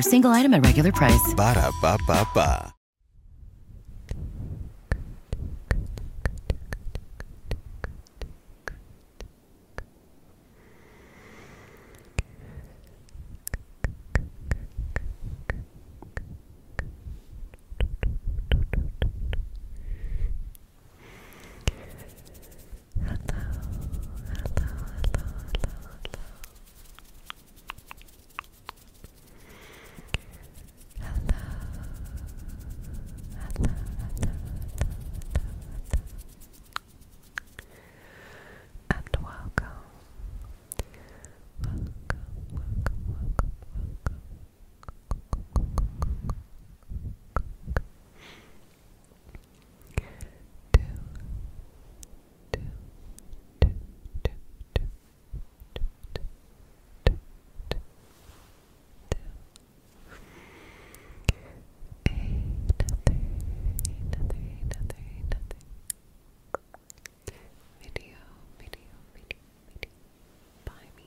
single item at regular price hello, hello, hello, hello. Hello, hello, hello, hello, And welcome. Welcome, welcome, welcome, welcome two, two, two, two, two, two, two, two, two, two. Ain't Video, video, video, video. Buy me.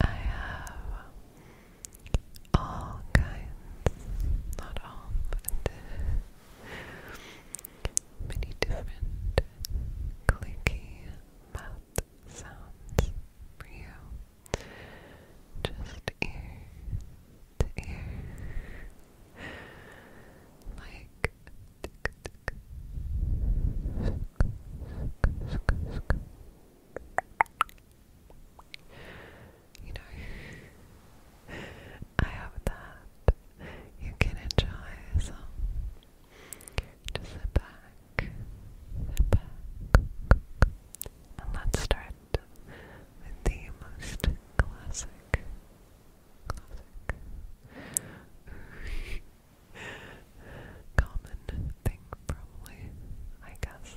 I have all kinds, not all, but many different clicky mouth sounds for you. Just ear to ear. Like you know, I hope that you can enjoy some. Just sit back, sit back, and let's start with the most classic, classic common thing, probably, I guess.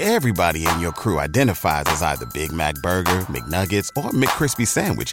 Everybody in your crew identifies as either Big Mac burger, McNuggets, or McCrispy sandwich